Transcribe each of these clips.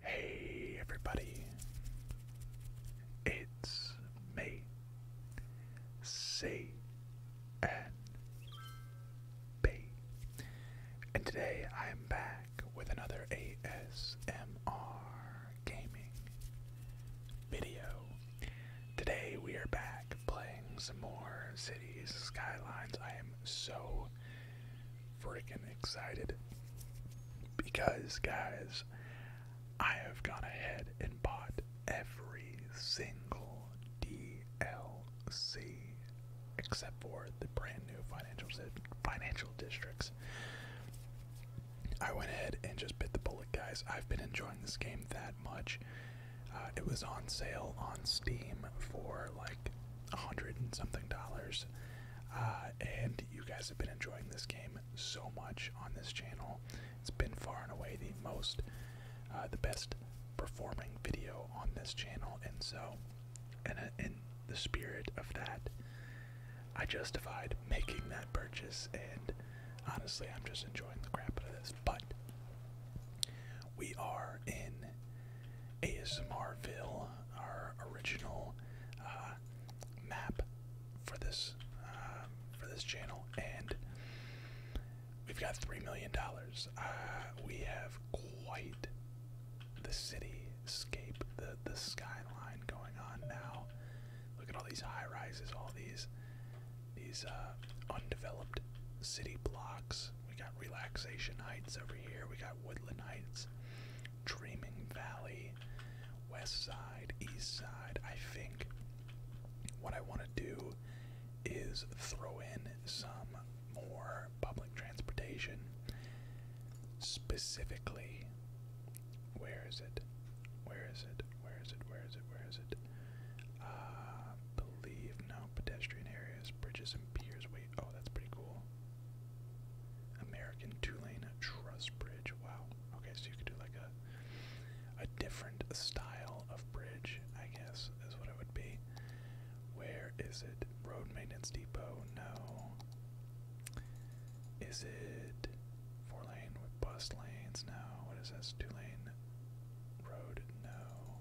Hey everybody, it's me, C N B, and today I am back with another ASMR gaming video. Today we are back playing some more Cities Skylines. I am so freaking excited because, guys, I have gone ahead and bought every single DLC except for the brand new financial financial districts. I went ahead and just bit the bullet, guys. I've been enjoying this game that much. Uh, it was on sale on Steam for like a hundred and something dollars. Uh, and you guys have been enjoying this game so much on this channel. It's been far and away the most, uh, the best performing video on this channel. And so, in the spirit of that, I justified making that purchase. And honestly, I'm just enjoying the crap out of this. But we are in ASMRville, our original uh, map for this um, for this channel, and we've got three million dollars. Uh, we have quite the cityscape, the the skyline going on now. Look at all these high rises, all these these uh, undeveloped city blocks Heights. We got Relaxation Heights over here. We got Woodland Heights, Dreaming Valley, West Side, East Side. I think what I want to do is throw in some more public transportation. Specifically, where is it? Where is it? Where is it? Where is it? Where is it? Uh, believe no pedestrian areas, bridges and piers. Wait, oh, that's pretty cool. American two-lane truss bridge. Wow. Okay, so you could do like a a different style of bridge, I guess, is what it would be. Where is it? Road maintenance depot? No. Is it four lane with bus lanes? No. What is this? Two lane road? No.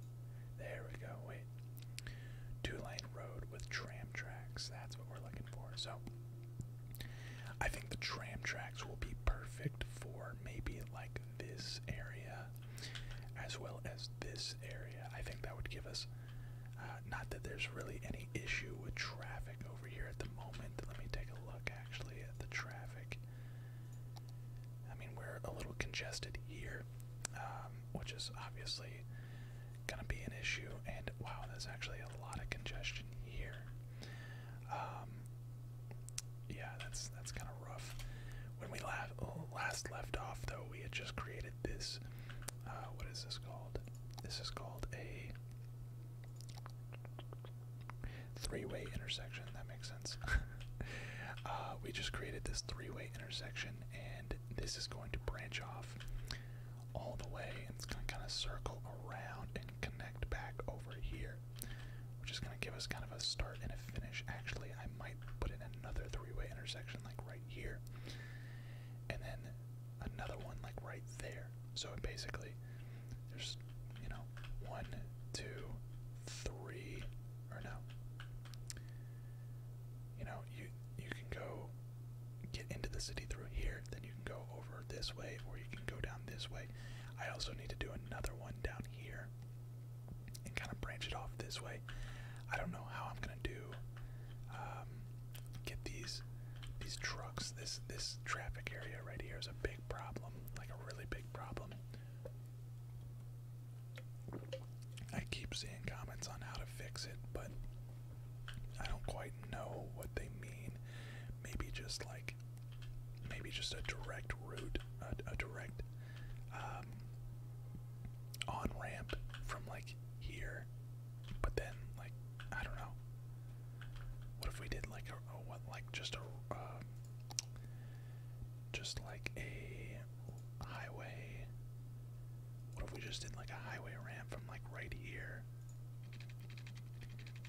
There we go. Wait. Two lane road with tram tracks. That's what we're looking for. So I think the tram tracks will be perfect for maybe like this area as well as this area. I think that would give us uh, not that there's really any issue with traffic over here at the moment. Let me take a look actually at the traffic. I mean, we're a little congested here, um, which is obviously going to be an issue. And wow, there's actually a lot of congestion here. Um, yeah, that's that's kind of rough. When we last left off, though, we had just created this. Uh, what is this called? This is called a three-way intersection. That makes Uh, we just created this three-way intersection, and this is going to branch off all the way, and it's going to kind of circle around and connect back over here, which is going to give us kind of a start and a finish. Actually, I might put in another three-way intersection like right here, and then another one like right there. So basically, there's you know one, two, three, or no, you know, you you can go get into the city through here, then you can go over this way, or you can go down this way. I also need to do another one down here and kind of branch it off this way. I don't know how I'm gonna do um, get these these trucks. This this traffic area right here is a big problem, like a really big problem. I keep seeing comments on how to fix it, but I don't quite know what they mean. Maybe just like, maybe just a direct route, a, direct um, on ramp from like here, but then like, I don't know. What if we did like a, what, like just a, um, just like a highway. What if we just did like a highway ramp from like right here?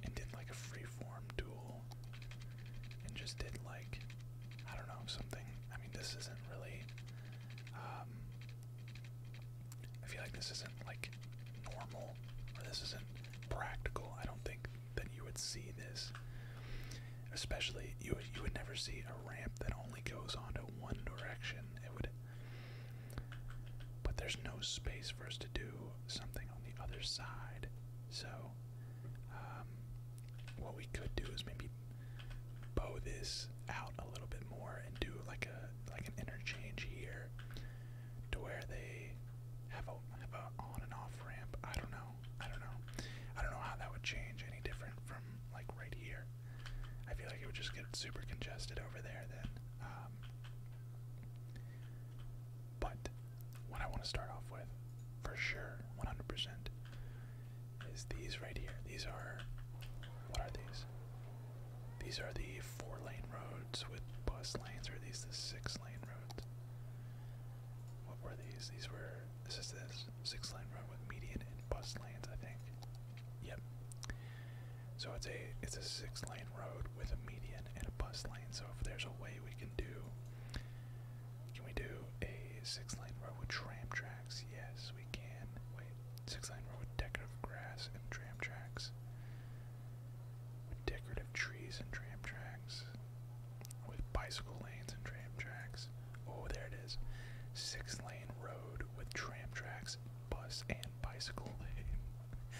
And did like a freeform duel. And just did like, I don't know, something. I mean, this isn't really. Um, I feel like this isn't like normal, or this isn't practical. I don't think that you would see this Especially, you you would never see a ramp that only goes onto one direction. It would, but there's no space for us to do something on the other side. So, um, what we could do is maybe bow this out a little bit more and do like a like an interchange here, to where they have a have a on and off ramp. I don't know. I don't know. I don't know how that would change any different from like right here. I feel like it would just get super congested over there then. Um, but what I want to start off with, for sure, 100%, is these right here. These are, what are these? These are the four lane roads with bus lanes, or are these the six lane roads? What were these? These were. This is this six lane run with median and bus lanes, I think. Yep. So it's a it's a six lane road with a median and a bus lane. So if there's a way we can do, can we do a six lane road with tram tracks? Yes, we can. Wait, six lane road with decorative grass and tram tracks. With decorative trees and tram tracks with bicycle lanes and tram tracks. Oh, there it is. Six lane road with tram tracks, bus, and bicycle lane.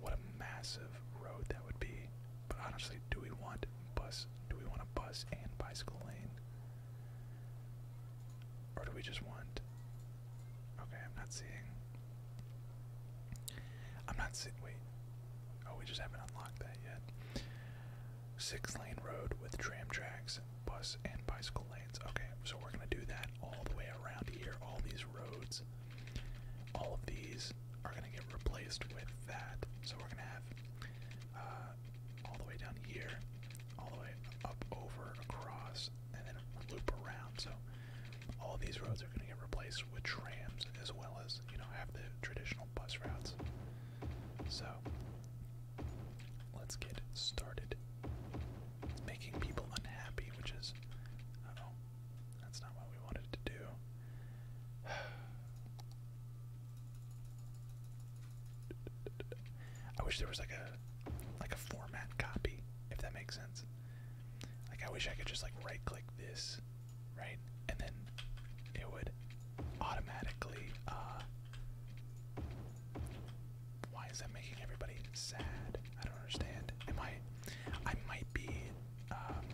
what a massive road that would be. But honestly, do we want bus? Do we want a bus and bicycle lane? Or do we just want. Okay, I'm not seeing. I'm not seeing. Wait. Oh, we just haven't unlocked that yet six lane road with tram tracks, bus, and bicycle lanes. Okay, so we're going to do that all the way around here. All these roads, all of these are going to get replaced with that. So we're going to have uh, all the way down here, all the way up over, across, and then loop around. So all these roads are going to get replaced with trams as well as, you know, have the traditional bus routes. So Let's get started. It's making people unhappy, which is. Uh oh. That's not what we wanted to do. I wish there was like a like a format copy, if that makes sense. Like I wish I could just like right click this, right? And then it would automatically, uh, why is that making everybody sad? I don't understand. Am I, I might be, um,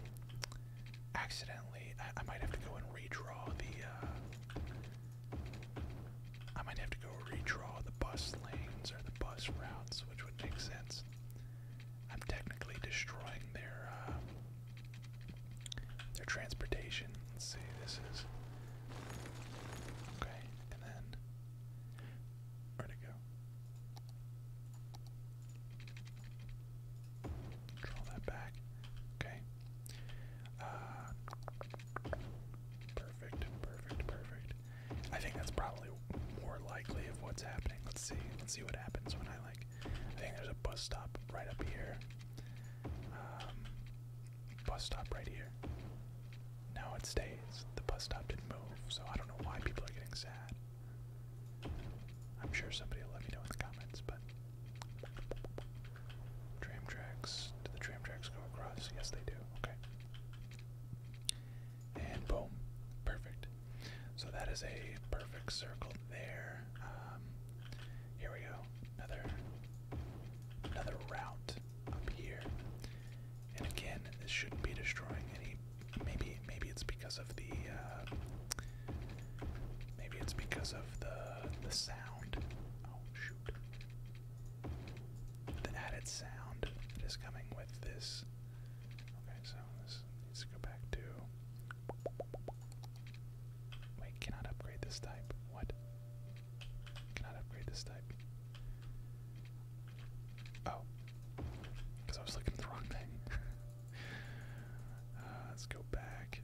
accidentally, I, might have to go and redraw the, uh, I might have to go redraw the bus lanes or the bus routes, which would make sense. I'm technically destroying their, uh, their transportation. Let's see, this is. Okay, and then. Where'd go? Draw that back. Okay. Uh, perfect, perfect, perfect. I think that's probably more likely of what's happening. Let's see. Let's see what happens when I like. I think there's a bus stop right up here. Um, bus stop right here. Now it stays. The bus stop didn't move, so I don't know why people are getting sad. I'm sure somebody will let me know in the comments, but. Tram tracks. Do the tram tracks go across? Yes, they do. Okay. And boom. Perfect. So that is a perfect circle there. Um, here we go another another route up here. And again, this shouldn't be destroying any. Maybe maybe it's because of the uh, maybe it's because of the the sound. Oh shoot! The added sound that is coming with this. Okay, so this needs to go back to Wait, cannot upgrade this type. What? Cannot upgrade this type. Oh. Because I was looking at the wrong thing. Uh, let's go back.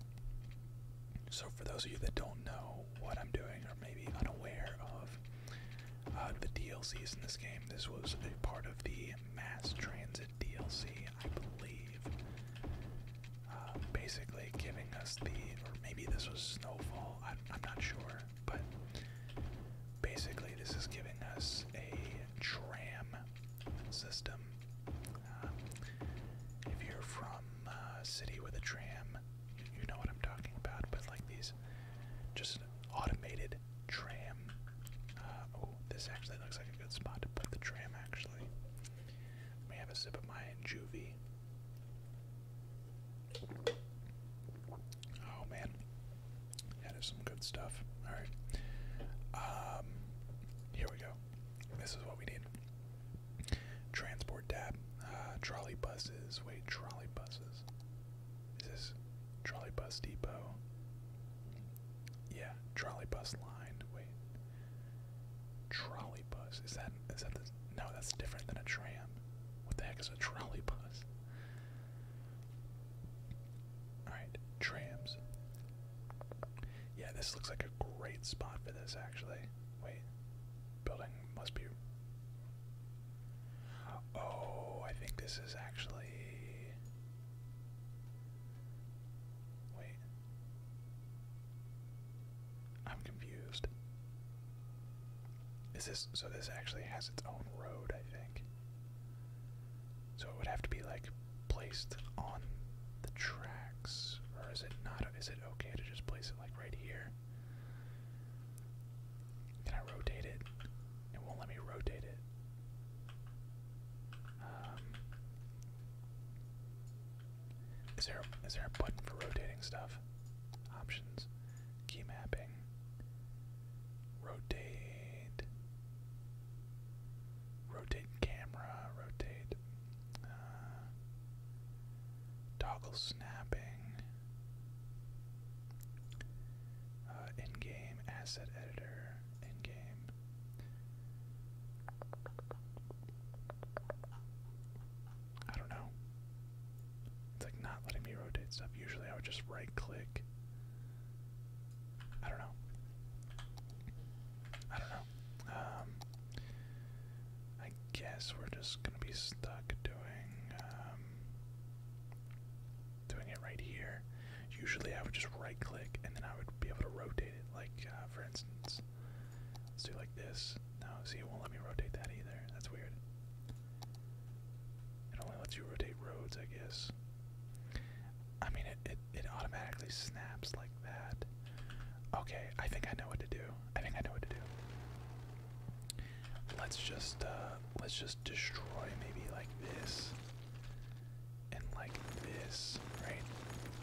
So, for those of you that don't know what I'm doing, or maybe unaware of uh, the DLCs in this game, this was a part of the Mass Transit DLC I believe. Uh, basically giving us the, or maybe this was Snowfall, I'm, not sure, but basically this is giving us a tram system. Um, if you're from a uh, city with a tram, you, know what I'm talking about, but like these, just automated tram. Uh, oh, this actually looks like a good spot to put the tram actually. Let me have a sip of my juvie. Oh man, that is some good stuff. All right, um, here we go. This is what we need. Transport tab. Uh, trolley buses. Wait, trolley buses. Is this trolley bus depot? Yeah, trolley bus line. Wait, Trolley bus. Is that is that the no, that's different than a tram. What the heck is a trolley bus? Alright, trams. Yeah, this looks like a great spot for this actually. Wait. Building must be Oh, I think this is actually Wait. I'm confused. Is this so? This actually has its own road, I think. So it would have to be like placed on the tracks, or is it not? Is it okay to just place it like right here? Can I rotate it? It won't let me rotate it. Um, is there is there a button for rotating stuff? Options, key mapping, rotate, rotate camera, rotate, uh, toggle snapping, uh, in game asset editor, in game I don't know. It's like not letting me rotate stuff. Usually I would just right click. I don't know. I don't know. Um, I guess we're just gonna be stuck doing um, doing it right here. Usually I would just right click and then I would be able to rotate it. Like uh, for instance, Let's do like this. No, see, it won't let me rotate that either. That's weird. It only lets you rotate roads, I guess. I mean, it, it, it automatically snaps like that. Okay, I think I know what to do. I think I know what to do. Let's just, uh, let's just destroy maybe like this. And like this, right?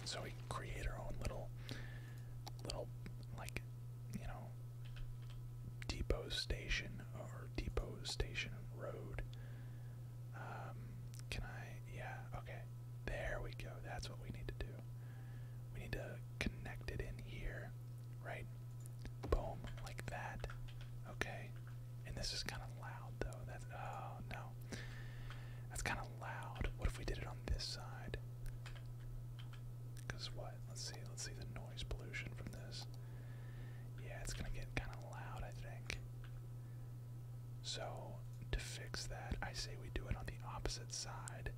So we create our own little little like you know depot station or depot station road um, can i yeah okay there we go that's what we need to do we need to connect it in here right boom like that okay and this is kind of loud though that's oh no that's kind of loud. What if we did it on this side? Because what? Let's see. Let's see the noise pollution from this. Yeah, it's going to get kind of loud, I think. So, to fix that, I say we do it on the opposite side.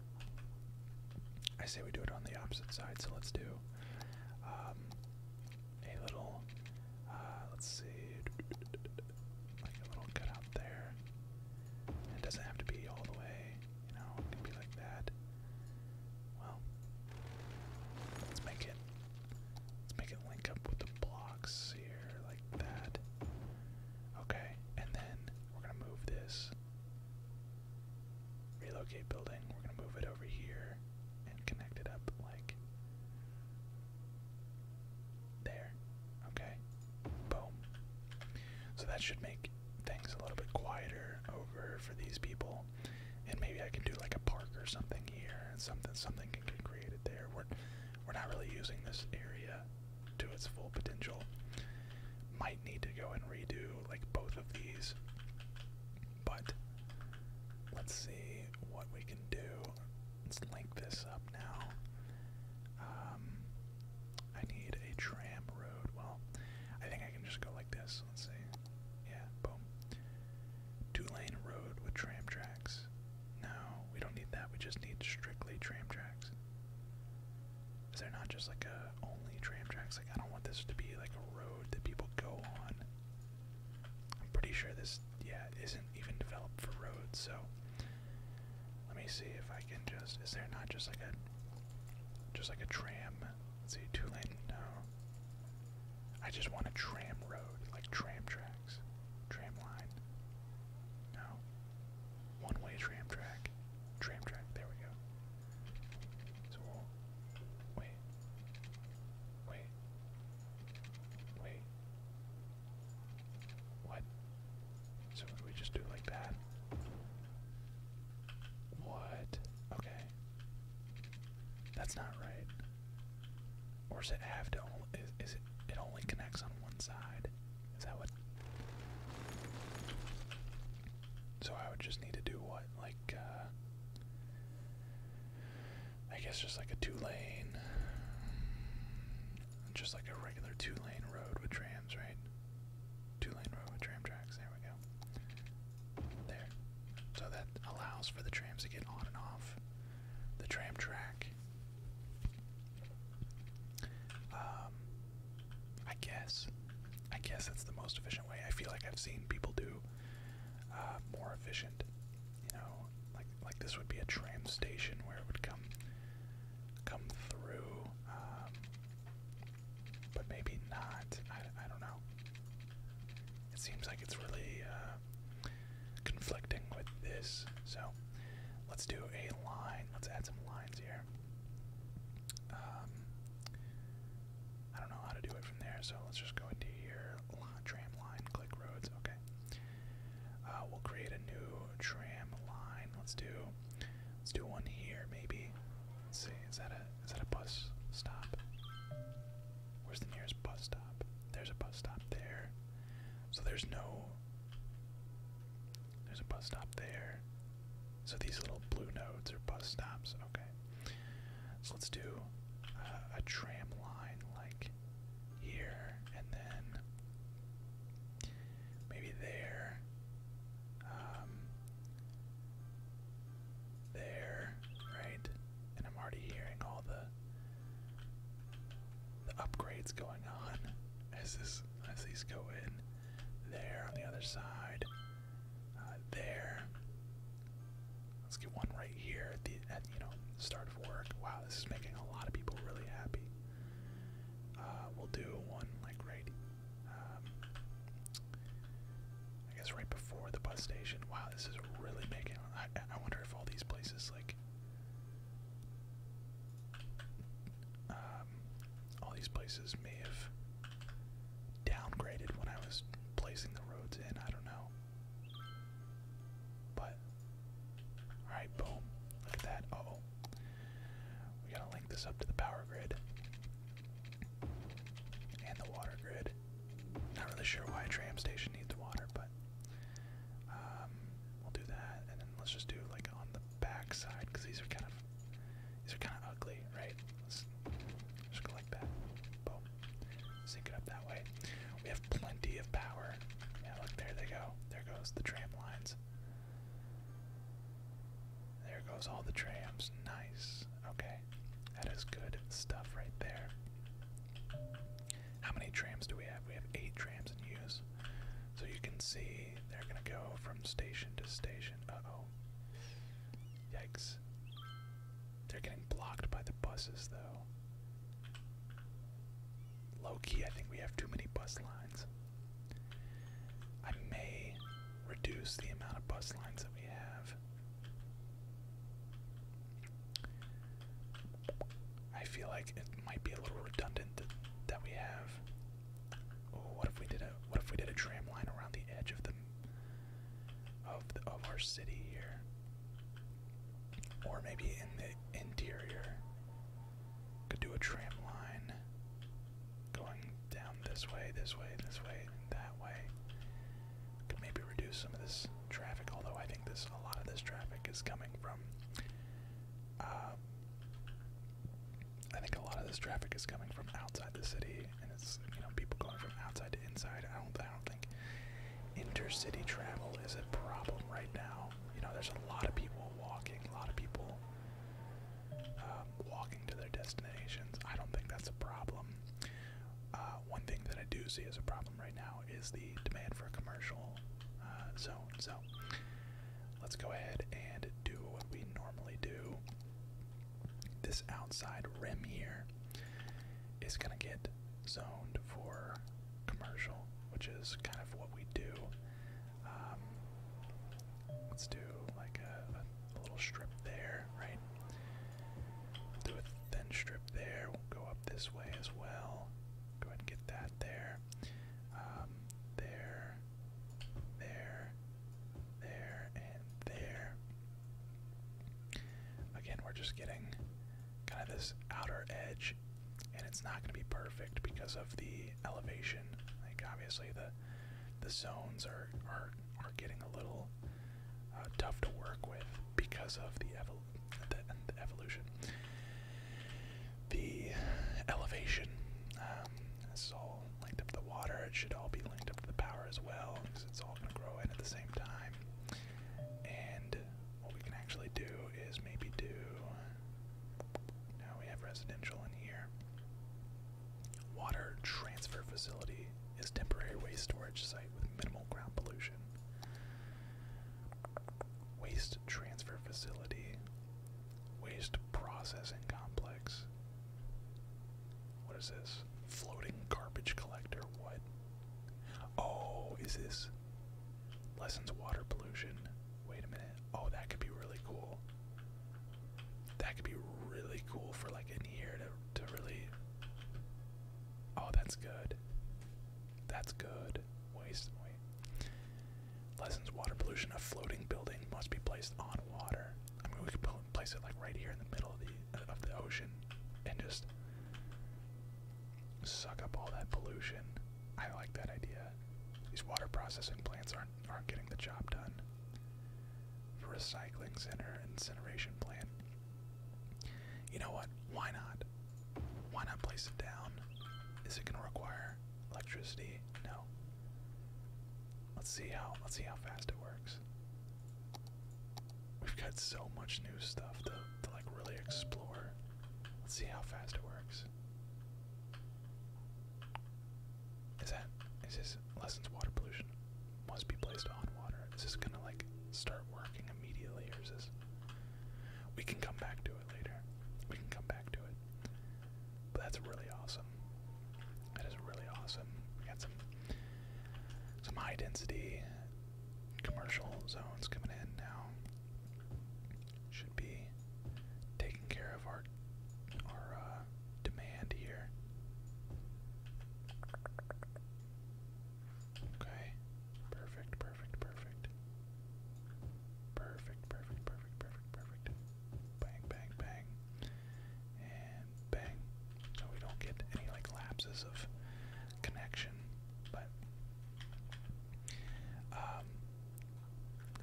I say we do it on the opposite side, so let's do um, a little. Uh, let's see like a little cutout there. It doesn't have to be all the way, you know, it can be like that. Well, let's make it let's make it link up with the blocks here like that. Okay, and then we're gonna move this. Relocate building. We're gonna move it over here and connect it up like there. Okay. Boom. So that should make things a little bit quieter over for these people. And maybe I can do like a park or something here and something something can get created there. We're we're not really using this area to its full potential. Might need to go and redo like both of these. But let's see what we can do. Let's link this up now. Um, I need a tram road. Well, I think I can just go like this. Let's see. Yeah, boom. Two lane road with tram tracks. No, we don't need that. We just need strictly tram tracks. Is there not just like a only tram tracks? Like I don't want this to be like a road that people go on. I'm pretty sure this yeah isn't even developed for roads, so let me see if I can just. Is there not just like a, just like a tram? Let's see, two lane. No. I just want a tram road, like tram tracks, tram line. No. One way tram track, tram track. There we go. So we'll wait, wait, wait. What? So we just do like that? What? Okay. That's not right. Or does it have to only, is, it, it only connects on one side? Is that what? So I would just need to do what? Like, uh, I guess just like a two lane just like a regular two lane road with trams, right? Two lane road with tram tracks, there we go. There. So that allows for the trams to get on and off the tram track. Um, I guess. I guess that's the most efficient way. I feel like I've seen people do uh, more efficient. You know, like like this would be a tram station where it would come come through, um, but maybe not. I, don't know. It seems like it's really uh, conflicting with this. So let's do a line. Let's add some lines here. Um, I don't know how to do it from there, so let's just go into here. Tram line, click roads. Okay. Uh, we'll create a new tram line. Let's do, let's do one here maybe. Let's see, is that a is that a bus stop? Where's the nearest bus stop? There's a bus stop there. So there's no. There's a bus stop there. So these little blue nodes are bus stops. Okay. So let's do a tram line like here, and then maybe there, um, there, right? And I'm already hearing all the the upgrades going on as this as these go in. There on the other side. Uh, there. Let's get one right here at the you know start of work. Wow, this is making a lot of people really happy. Uh, we'll do one like right, um, I guess right before the bus station. Wow, this is really making. I, wonder if all these places like, um, all these places may have downgraded when I was placing the roads in. I don't know, but Alright, boom. Look at that. oh. We gotta link this up to the power grid. And the water grid. Not really sure why a tram station needs water, but um, we'll do that. And then let's just do like on the back because these are kind of these are kind of ugly, right? Let's just go like that. Boom. Sync it up that way. We have plenty of power. Yeah, look, there they go. There goes the tram lines. There goes all the trams. Nice. Okay. That is good stuff right there. How many trams do we have? We have eight trams in use. So you can see they're going to go from station to station. Uh oh. Yikes. They're getting blocked by the buses, though. Low key, I think we have too many bus lines. I may reduce the amount of bus lines that we have. I feel like it might be a little redundant that, we have. Oh, what if we did a what if we did a tram line around the edge of the of of our city here, or maybe in the interior? Could do a tram line going down this way, this way, this way, that way. Could maybe reduce some of this traffic, although I think this a lot of this traffic is coming from um, I think a lot of this traffic is coming from outside the city and it's you know people going from outside to inside. I don't I don't think intercity travel is a problem right now. You know, there's a lot of people walking, a lot of people um, walking to their destinations. I don't think that's a problem. Uh, one thing that I do see as a problem right now is the demand for commercial uh, zone. So let's go ahead and do what we normally do. This outside rim here is going to get zoned for commercial, which is kind of what we do. Um, let's do like a, little strip there, right? do a thin strip there. We'll go up this way as well. Go ahead and get that there. Um, there, there, there, and there. Again, we're just getting kind of this outer edge and it's not going to be perfect because of the elevation. Like obviously the the zones are are are getting a little uh, tough to work with because of the, evolution, the elevation. Um, linked up the water. It should all be linked up to the power as well because it's all going to grow in at the same time. And what we can actually do is maybe do now we have residential in here. Water transfer facility is temporary waste storage site with minimal ground pollution. Waste transfer facility. Waste processing complex. What is this? Floating garbage collector. What? Oh, is this? Lessens water pollution. Wait a minute. Oh, that could be really cool. That could be really cool for like in here to to really. Oh, that's good. That's good. Waste wait. Lessons water pollution. A floating building must be placed on water. I mean, we could place it like right here in the middle of the of the ocean, and just suck up all that pollution. I like that idea. These water processing plants aren't aren't getting the job done. Recycling center, incineration plant. You know what? Why not? Why not place it down? Is it gonna require electricity? No. Let's see how let's see how fast it works. We've got so much new stuff to, to like really explore. Let's see how fast it works. Is that is this lessens water pollution? Must be placed on water. Is this gonna like start working immediately or is we can come back to it later. We can come back to it. But that's really awesome. That is really awesome. We got some some high density commercial zones coming in now should be taking care of our our uh, demand here. Okay. Perfect, perfect, perfect. Perfect, perfect, perfect, perfect, perfect. Bang, bang, bang. And bang. So we don't get any like lapses of connection. But um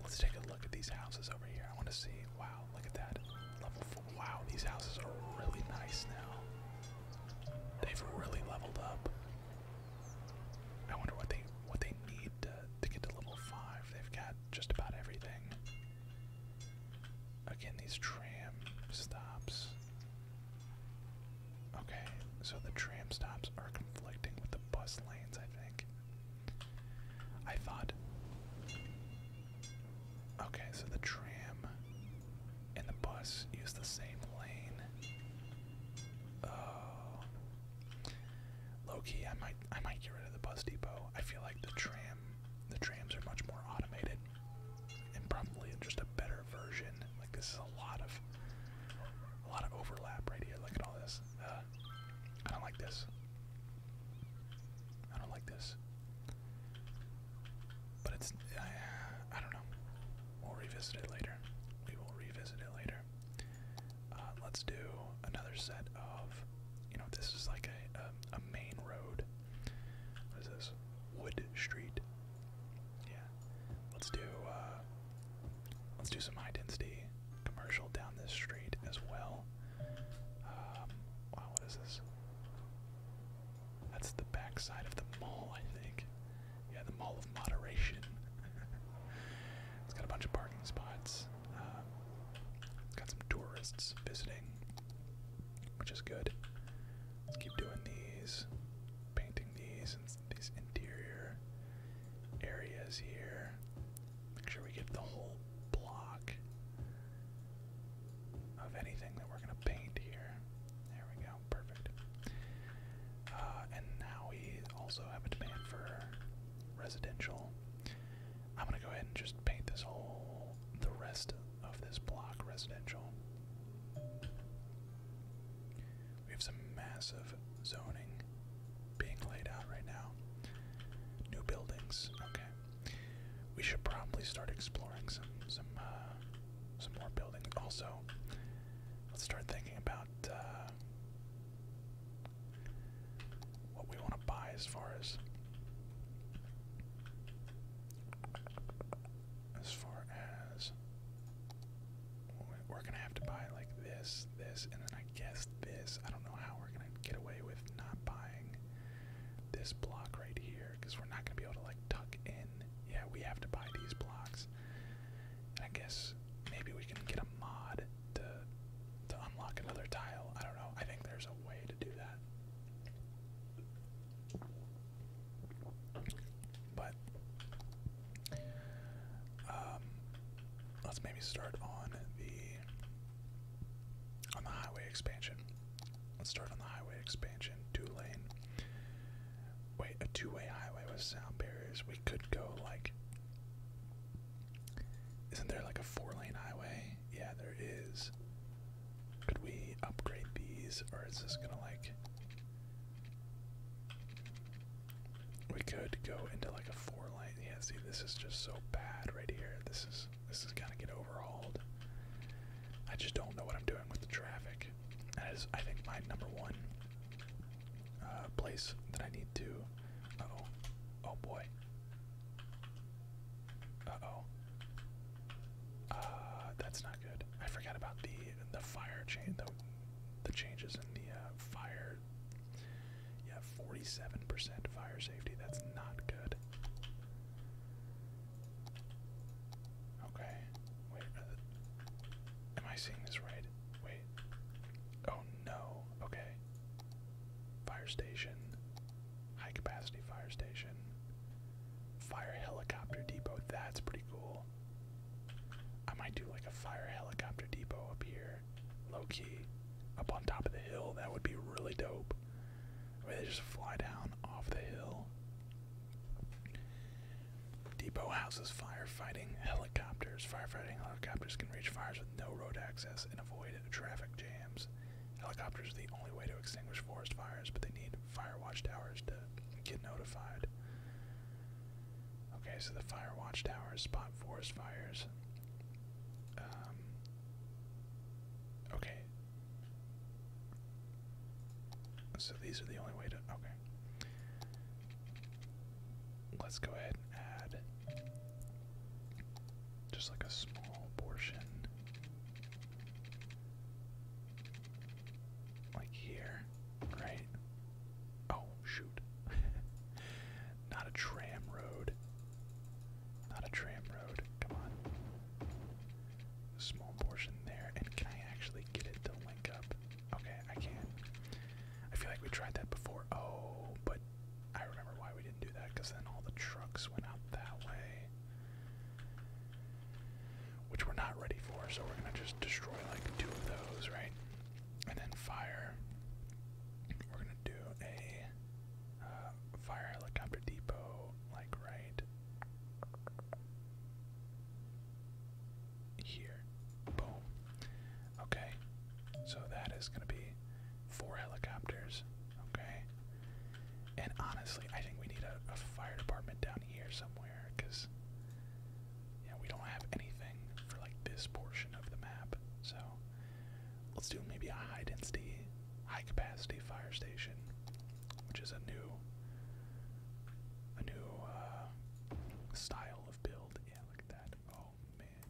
Let's take a look at these houses over here. I want to see. Wow, look at that. Level four. Wow, these houses are really nice now. They've really leveled up. I wonder what they what they need to, to get to level five. They've got just about everything. Again, these tram stops. Okay, so the tram stops are conflicting with the bus lanes, I think. I thought. Okay, so the tram and the bus use the same lane. Oh. I might I might get rid of the bus depot. I feel like the tram the trams are much more automated and probably just a better version. Like this is a lot of a lot of overlap right here. Look at all this. Uh, I don't like this. I don't like this. But it's I, I don't know. We'll revisit it later. We will revisit it later. Uh, let's do another set of you know this is like a a, a main road. What is this? Wood Street. Yeah. Let's do uh Let's do some high density commercial down this street as well. Um, wow, what is this? That's the back of the mall, I think. Yeah, the Mall of Moderation. it's got a bunch of parking spots. it's um, got some tourists visiting, which is good. Let's keep doing these, painting these, and these interior areas here. Make sure we get the whole block of anything that we're going to paint here. There we go, perfect. Uh, and now we also have a demand for residential. I'm going to go ahead and just paint this whole, the rest of this block residential. We have some massive zoning being laid out right now. New buildings. Okay. We should probably start exploring some some uh, some more buildings. Also, let's start thinking about uh, what we want to buy as far as as far as we're gonna have to buy like this, this, and then I guess this. I don't know how we're gonna get away with not buying this block right here because we're not gonna be able to like tuck in. Yeah, we have to buy these blocks. I guess maybe we can get a mod to to unlock another tile. I don't know. I think there's a way to do that. But um, let's maybe start on the on the highway expansion. Let's start on the highway expansion, two lane. Wait, a two-way highway with sound barriers. We could go like. Isn't there like a four-lane highway? Yeah, there is. Could we upgrade these, or is this gonna like? We could go into like a four lane. Yeah, see, this is just so bad right here. This is this is gonna get overhauled. I just don't know what I'm doing with the traffic. That is, I think, my number one uh, place that I need to. Uh oh. Oh boy. Uh oh. Uh, that's not good. I forgot about the the fire chain, the the changes in the uh, fire yeah, 47% fire safety. That's not good. Okay. Wait. Uh, am I seeing this right? Wait. Oh no. Okay. Fire station. High capacity fire station. Fire helicopter depot. That's pretty cool. I might do like a fire helicopter depot up here low key, up on top of the hill. That would be really dope. they just fly down off the hill. Depot houses firefighting helicopters. Firefighting helicopters can reach fires with no road access and avoid traffic jams. Helicopters are the only way to extinguish forest fires, but they need fire watchtowers to get notified. Okay, so the fire watch towers spot forest fires. Um, okay. So these are the only way to. Okay. Let's go ahead and add just like a small portion. Like here, right? Oh, shoot. Not a tram road. Not a tram road. Come on. Small portion there. And can I actually get it to link up? Okay, I can. I feel like we tried that before. Oh, but I remember why we didn't do that because then all the trucks went out that way. Which we're not ready for, so we're gonna just destroy like two of those, right? and then fire. We're gonna do a uh, fire helicopter depot, like right here. Boom. Okay, so that is gonna be four helicopters. Okay, and honestly, I think we need a fire department down here somewhere because yeah, we don't have anything for like this portion of the map, so let's do maybe a high density, high capacity fire station, which is a new, a new uh, style of build. Yeah, look at that. Oh man.